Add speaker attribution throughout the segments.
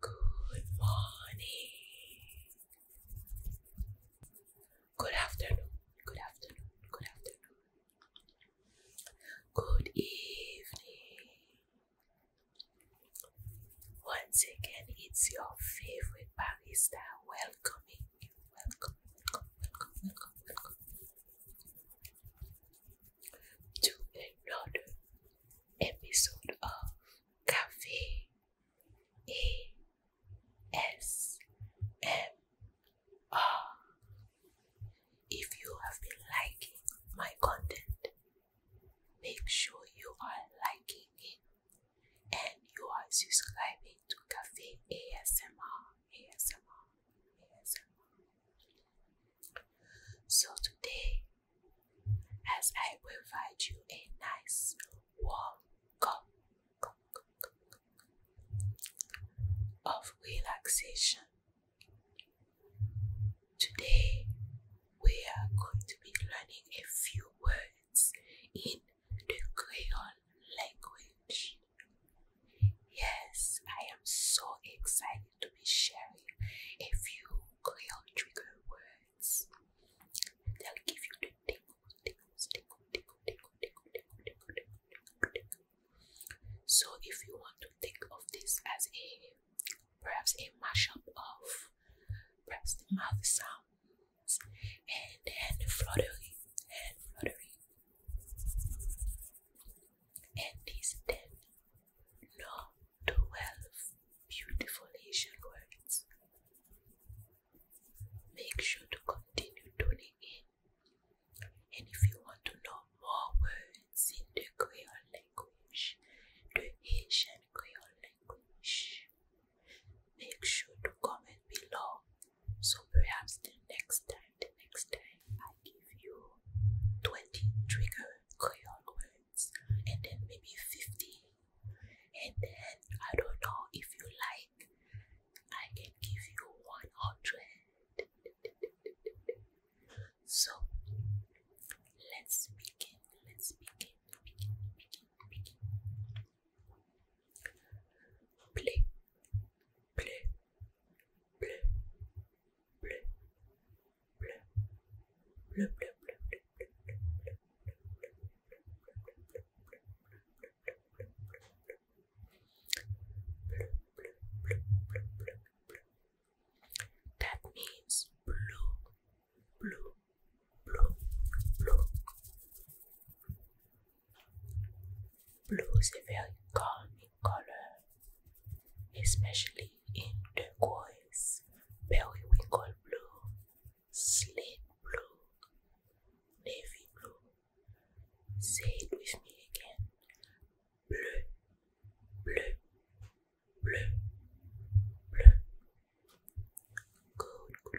Speaker 1: Good morning. Good afternoon. Good afternoon. Good afternoon. Good evening. Once again, it's your favorite barista welcoming you. welcome to another episode of Cafe ASMR. If you have been liking my content, make sure you are liking it and you are subscribing to Cafe ASMR. ASMR. ASMR. So today as I will find you a nice warm of relaxation. Today, we are going to be learning a few words in the Creole language. Yes, I am so excited to be sharing a few crayon trigger words. they give you the tingle, tingles, tingle, tingle, tingle, tingle, tingle, tingle, tingle, tingle. So if you want to think of this as a perhaps a mashup of perhaps mouth sounds and then fluttering and fluttering. And these then no 12 beautiful Asian words. Make sure to continue tuning in. And if you want to know more words in the Creole language, the Asian Creole language, make sure to comment below. So perhaps the next time, the next time, I give you 20 triggers. Creole words, and then maybe 50. And then I don't know if you like, I can give you 100. So let's begin. Let's begin. Play, play, play, that means blue, blue, blue, blue. Blue is a very calming color, especially in turquoise, periwinkle blue, slate blue, navy blue. Say it with me again. Bleu, bleu, bleu, bleu. Good,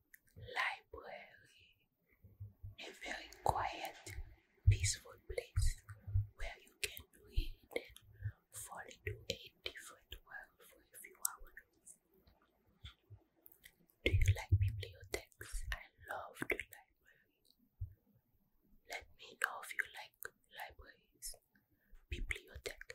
Speaker 1: library, a very quiet, peaceful place where you can read and fall into a different world for a few hours. Do you like bibliotheques? I love the Let me know if you like libraries. Bibliothèque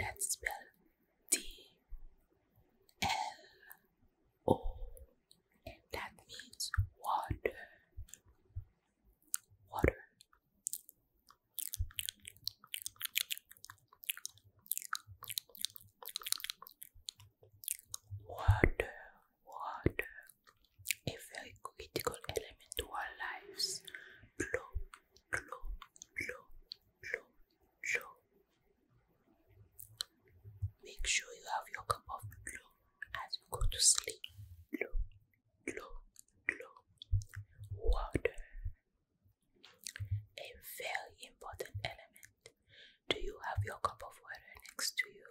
Speaker 1: Let's spell D L O, that means water. Water. Water, water, a very critical element to our lives. Blow, blow, blow, blow, blow. Make sure you have your cup of blow as you go to sleep. Blow, blow, blow. Water. A very important element. Do you have your cup of water next to you?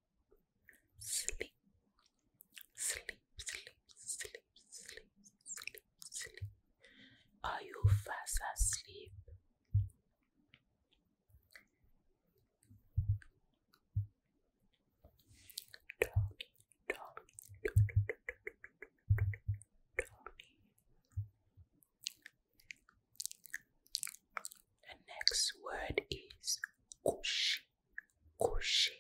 Speaker 1: sleep, sleep, sleep, sleep, sleep, sleep, sleep. Are you fast asleep? Tommy, Tommy, The next word is cushy, cushy,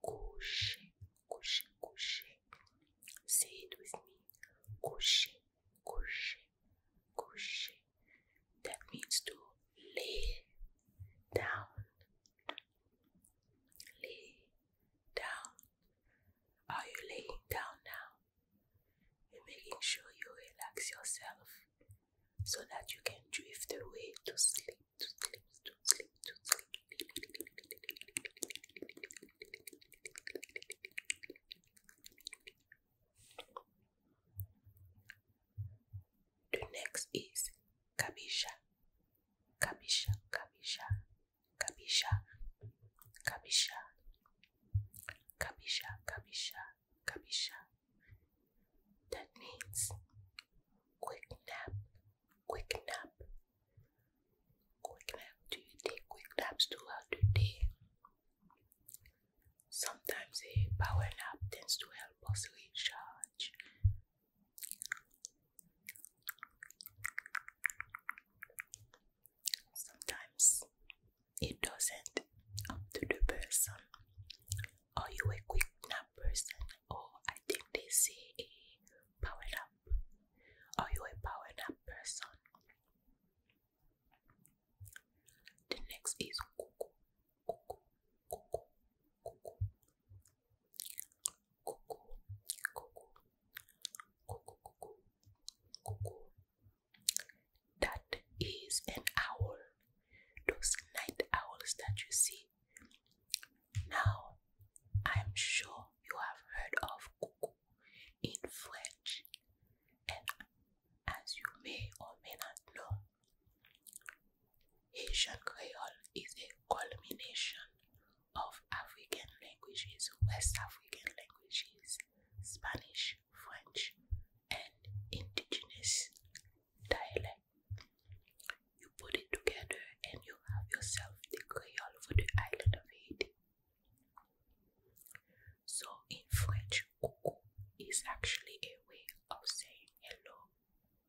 Speaker 1: Couché, couché, couché. Say it with me. Couché, couché, couché. That means to lay down. Lay down. Are you laying down now? You're making sure you relax yourself so that you can drift away to sleep. The next is kabisha, kabisha, kabisha, kabisha, kabisha, kabisha, kabisha, kabisha that needs quick nap, quick nap, quick nap. Do you take quick naps throughout the day? Sometimes a power nap tends to help us recharge. Sometimes it doesn't, up to the person. Are you a quick nap person? Oh, I think they say a powered up. Are you a powered up person? The next is cuckoo, cuckoo, cuckoo, cuckoo, cuckoo, cuckoo, cuckoo, cuckoo. That is an owl. Those night owls that you see now, I'm sure you have heard of cuckoo in French, and as you may or may not know, Haitian Creole is a culmination of African languages, West African languages, Spanish, French, and indigenous dialects. You put it together and you have yourself the creole for the island of Haiti. So, in French, coucou is actually a way of saying hello,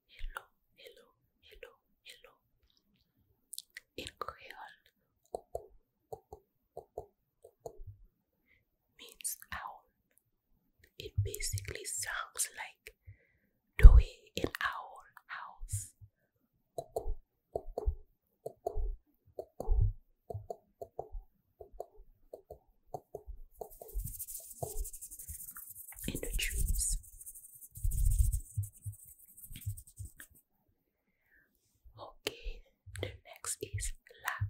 Speaker 1: hello, hello, hello, hello. In Creole, coucou, coucou, coucou, coucou means owl it basically sounds like doing in our house. Cuckoo, Okay, the next is la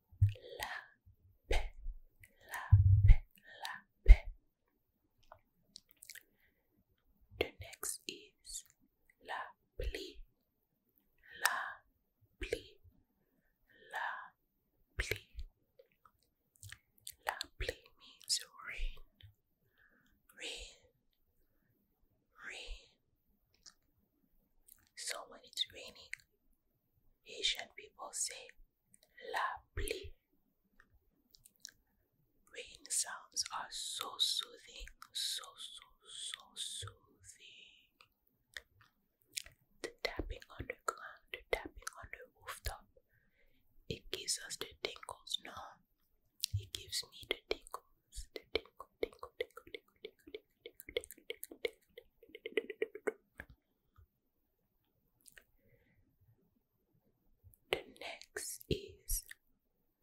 Speaker 1: la paix, la paix, la paix. The next is la pli, la pli, la pli. La pli means rain, rain, rain. So when it's raining, Asian people say la pli. Rain sounds are so soothing, so, so, so soothing. The tapping on the ground, tapping on the rooftop, it gives us the tingles, no? It gives me the tingles, tingle, tingle, tingle, tingle, tingle, tingle. The next is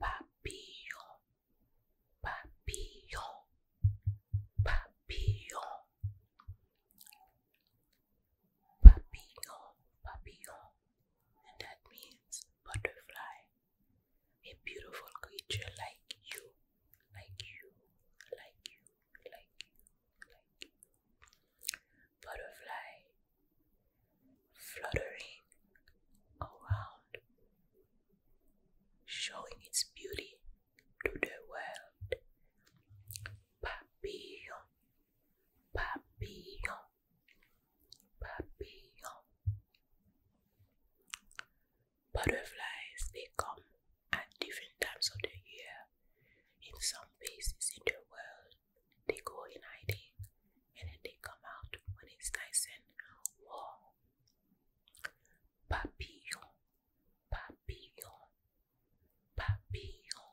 Speaker 1: papillon, papillon, papillon, papillon, papillon, and that means butterfly, a beautiful creature like you like you, like you, like you, like you. Butterfly fluttering around, showing its beauty to the world. Papillon, papillon, papillon. Butterflies, they come at different times of the year. In some places in the world, they go in hiding and then they come out when it's nice and warm. Papillon, papillon, papillon.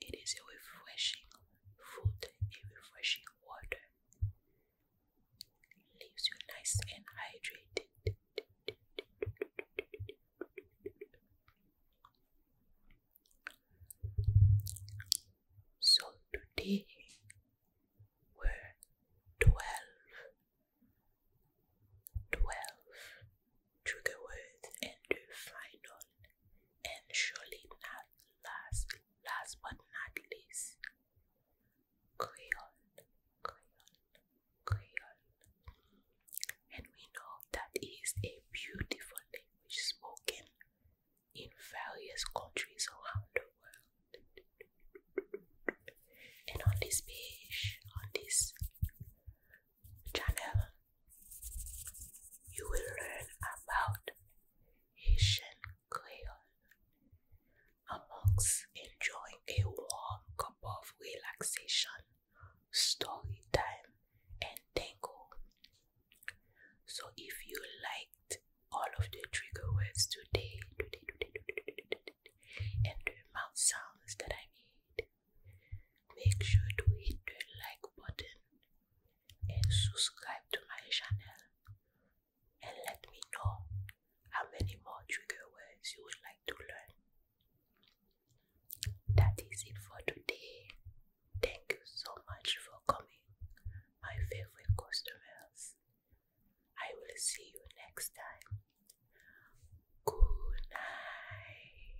Speaker 1: It is a refreshing food, a refreshing water. Leaves you nice and hydrated. So today were twelve, twelve trigger words and the final and surely not last, last but not least, Creole, Creole, Creole. And we know that is a beautiful language spoken in various countries around the world. And on this page, on this channel, you will learn about Haitian Creole. Amongst enjoying a warm cup of relaxation, story time, and tango. So, if you liked all of the trigger words today, today, today, today, today and the mouth sounds that I made, make sure to hit the like button and subscribe to my channel and let me know how many more trigger words you would like to learn. That is it for today. Thank you so much for coming, my favorite customers. I will see you next time. Good night.